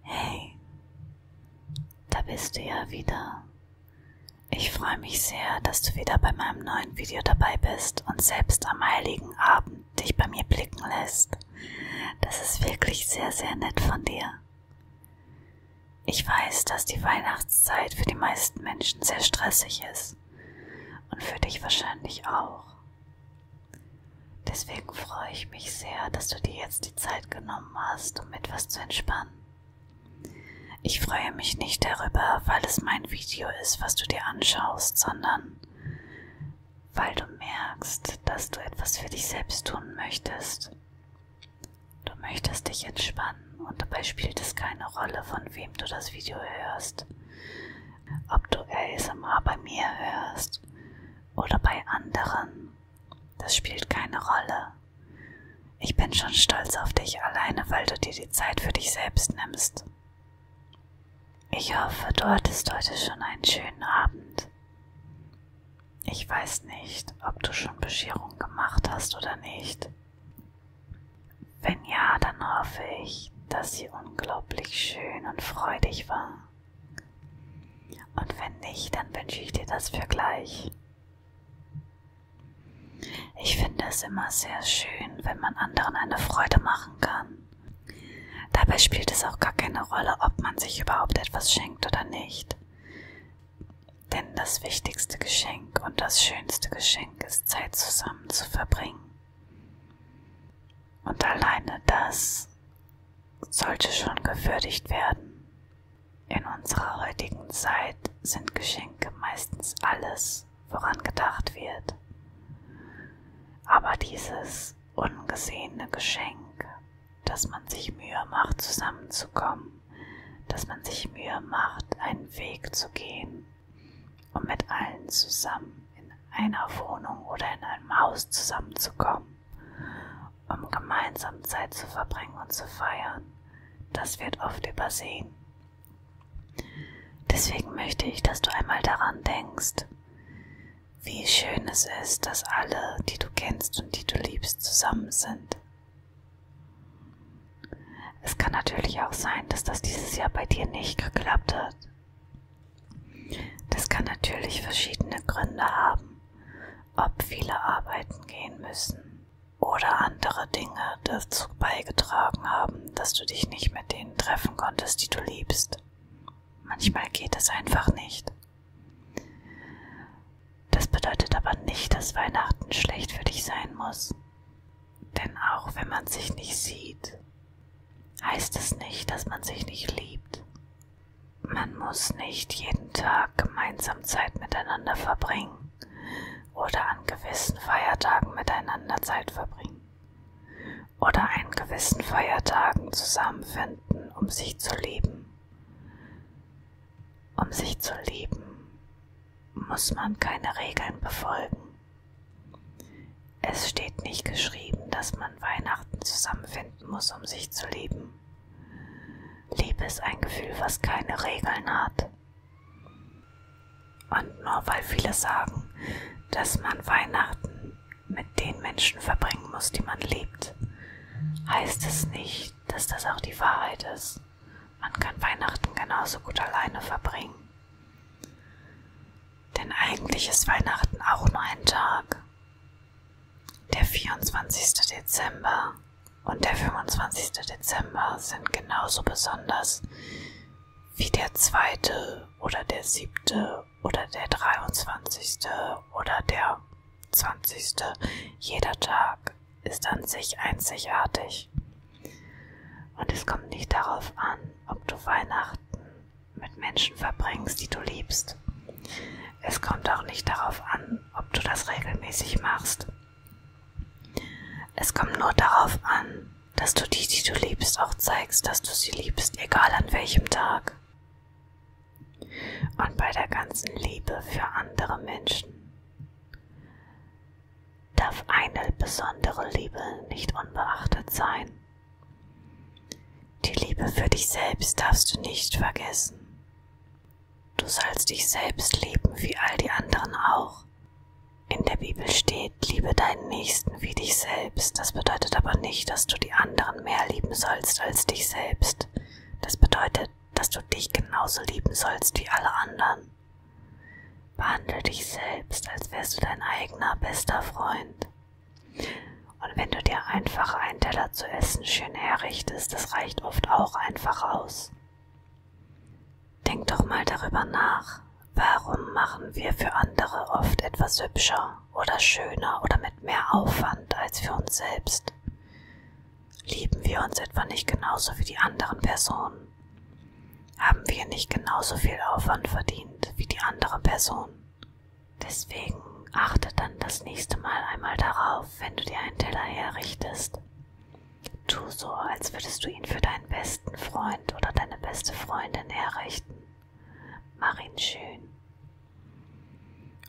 Hey, da bist du ja wieder. Ich freue mich sehr, dass du wieder bei meinem neuen Video dabei bist und selbst am heiligen Abend dich bei mir blicken lässt. Das ist wirklich sehr, sehr nett von dir. Ich weiß, dass die Weihnachtszeit für die meisten Menschen sehr stressig ist und für dich wahrscheinlich auch. Deswegen freue ich mich sehr, dass du dir jetzt die Zeit genommen hast, um etwas zu entspannen. Ich freue mich nicht darüber, weil es mein Video ist, was du dir anschaust, sondern weil du merkst, dass du etwas für dich selbst tun möchtest. Du möchtest dich entspannen und dabei spielt es keine Rolle, von wem du das Video hörst. Ob du ASMR bei mir hörst oder bei anderen, das spielt keine Rolle. Ich bin schon stolz auf dich alleine, weil du dir die Zeit für dich selbst nimmst. Ich hoffe, du hattest heute schon einen schönen Abend. Ich weiß nicht, ob du schon Bescherung gemacht hast oder nicht. Wenn ja, dann hoffe ich, dass sie unglaublich schön und freudig war. Und wenn nicht, dann wünsche ich dir das für gleich. Ich finde es immer sehr schön, wenn man anderen eine Freude machen kann. Dabei spielt es auch gar keine Rolle, ob man sich überhaupt etwas schenkt oder nicht. Denn das wichtigste Geschenk und das schönste Geschenk ist Zeit zusammen zu verbringen. Und alleine das sollte schon gewürdigt werden. In unserer heutigen Zeit sind Geschenke meistens alles, woran gedacht wird. Aber dieses ungesehene Geschenk dass man sich Mühe macht, zusammenzukommen, dass man sich Mühe macht, einen Weg zu gehen, um mit allen zusammen in einer Wohnung oder in einem Haus zusammenzukommen, um gemeinsam Zeit zu verbringen und zu feiern. Das wird oft übersehen. Deswegen möchte ich, dass du einmal daran denkst, wie schön es ist, dass alle, die du kennst und die du liebst, zusammen sind. Es kann natürlich auch sein, dass das dieses Jahr bei dir nicht geklappt hat. Das kann natürlich verschiedene Gründe haben, ob viele arbeiten gehen müssen oder andere Dinge dazu beigetragen haben, dass du dich nicht mit denen treffen konntest, die du liebst. Manchmal geht es einfach nicht. Das bedeutet aber nicht, dass Weihnachten schlecht für dich sein muss. Denn auch wenn man sich nicht sieht, heißt es nicht, dass man sich nicht liebt. Man muss nicht jeden Tag gemeinsam Zeit miteinander verbringen oder an gewissen Feiertagen miteinander Zeit verbringen oder an gewissen Feiertagen zusammenfinden, um sich zu lieben. Um sich zu lieben, muss man keine Regeln befolgen. Es steht nicht geschrieben, dass man Weihnachten zusammenfinden muss, um sich zu lieben. Liebe ist ein Gefühl, was keine Regeln hat. Und nur weil viele sagen, dass man Weihnachten mit den Menschen verbringen muss, die man liebt, heißt es nicht, dass das auch die Wahrheit ist. Man kann Weihnachten genauso gut alleine verbringen. Denn eigentlich ist Weihnachten auch nur ein Tag. Der 24. Dezember und der 25. Dezember sind genauso besonders wie der zweite oder der siebte oder der 23. oder der 20. Jeder Tag ist an sich einzigartig. Und es kommt nicht darauf an, ob du Weihnachten mit Menschen verbringst, die du liebst. Es kommt auch nicht darauf an, ob du das regelmäßig machst. Es kommt nur darauf an, dass du die, die du liebst, auch zeigst, dass du sie liebst, egal an welchem Tag. Und bei der ganzen Liebe für andere Menschen darf eine besondere Liebe nicht unbeachtet sein. Die Liebe für dich selbst darfst du nicht vergessen. Du sollst dich selbst lieben wie all die anderen auch, in der Bibel steht, liebe deinen Nächsten wie dich selbst. Das bedeutet aber nicht, dass du die anderen mehr lieben sollst als dich selbst. Das bedeutet, dass du dich genauso lieben sollst wie alle anderen. Behandle dich selbst, als wärst du dein eigener bester Freund. Und wenn du dir einfach einen Teller zu essen schön herrichtest, das reicht oft auch einfach aus. Denk doch mal darüber nach. Warum machen wir für andere oft etwas hübscher oder schöner oder mit mehr Aufwand als für uns selbst? Lieben wir uns etwa nicht genauso wie die anderen Personen? Haben wir nicht genauso viel Aufwand verdient wie die andere Person? Deswegen achte dann das nächste Mal einmal darauf, wenn du dir einen Teller herrichtest. Tu so, als würdest du ihn für deinen besten Freund oder deine beste Freundin herrichten. Mach ihn schön.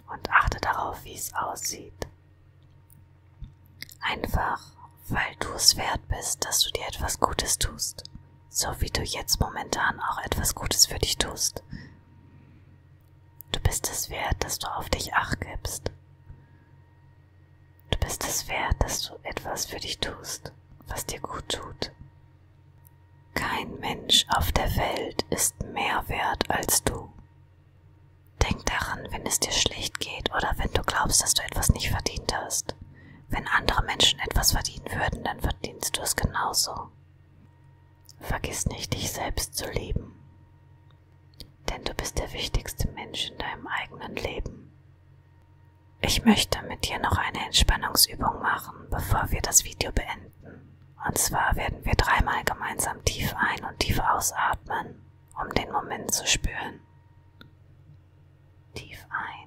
Und achte darauf, wie es aussieht. Einfach, weil du es wert bist, dass du dir etwas Gutes tust, so wie du jetzt momentan auch etwas Gutes für dich tust. Du bist es wert, dass du auf dich acht gibst. Du bist es wert, dass du etwas für dich tust, was dir gut tut. Kein Mensch auf der Welt ist mehr wert als du. Denk daran, wenn es dir schlecht geht oder wenn du glaubst, dass du etwas nicht verdient hast. Wenn andere Menschen etwas verdienen würden, dann verdienst du es genauso. Vergiss nicht, dich selbst zu lieben. Denn du bist der wichtigste Mensch in deinem eigenen Leben ich möchte mit dir noch eine Entspannungsübung machen, bevor wir das Video beenden. Und zwar werden wir dreimal gemeinsam tief ein- und tief ausatmen, um den Moment zu spüren. Tief ein.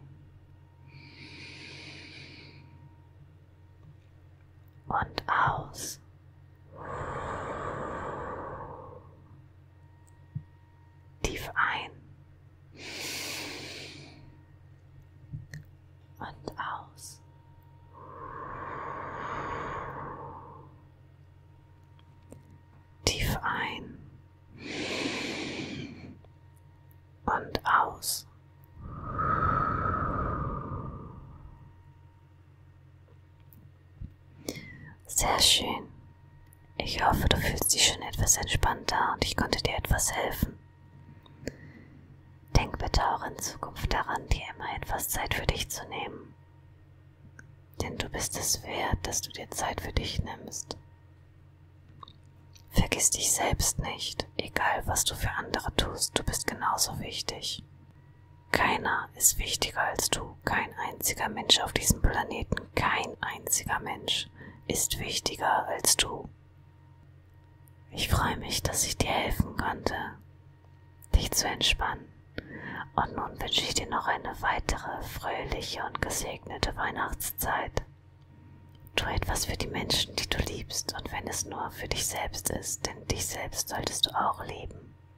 Und aus. Tief ein. Und aus. Tief ein. Und aus. Sehr schön. Ich hoffe, du fühlst dich schon etwas entspannter und ich konnte dir etwas helfen. Denk bitte auch in Zukunft daran, dir immer etwas Zeit für dich zu nehmen. Denn du bist es wert, dass du dir Zeit für dich nimmst. Vergiss dich selbst nicht, egal was du für andere tust, du bist genauso wichtig. Keiner ist wichtiger als du, kein einziger Mensch auf diesem Planeten, kein einziger Mensch ist wichtiger als du. Ich freue mich, dass ich dir helfen konnte, dich zu entspannen. Und nun wünsche ich dir noch eine weitere fröhliche und gesegnete Weihnachtszeit. Tu etwas für die Menschen, die du liebst, und wenn es nur für dich selbst ist, denn dich selbst solltest du auch lieben.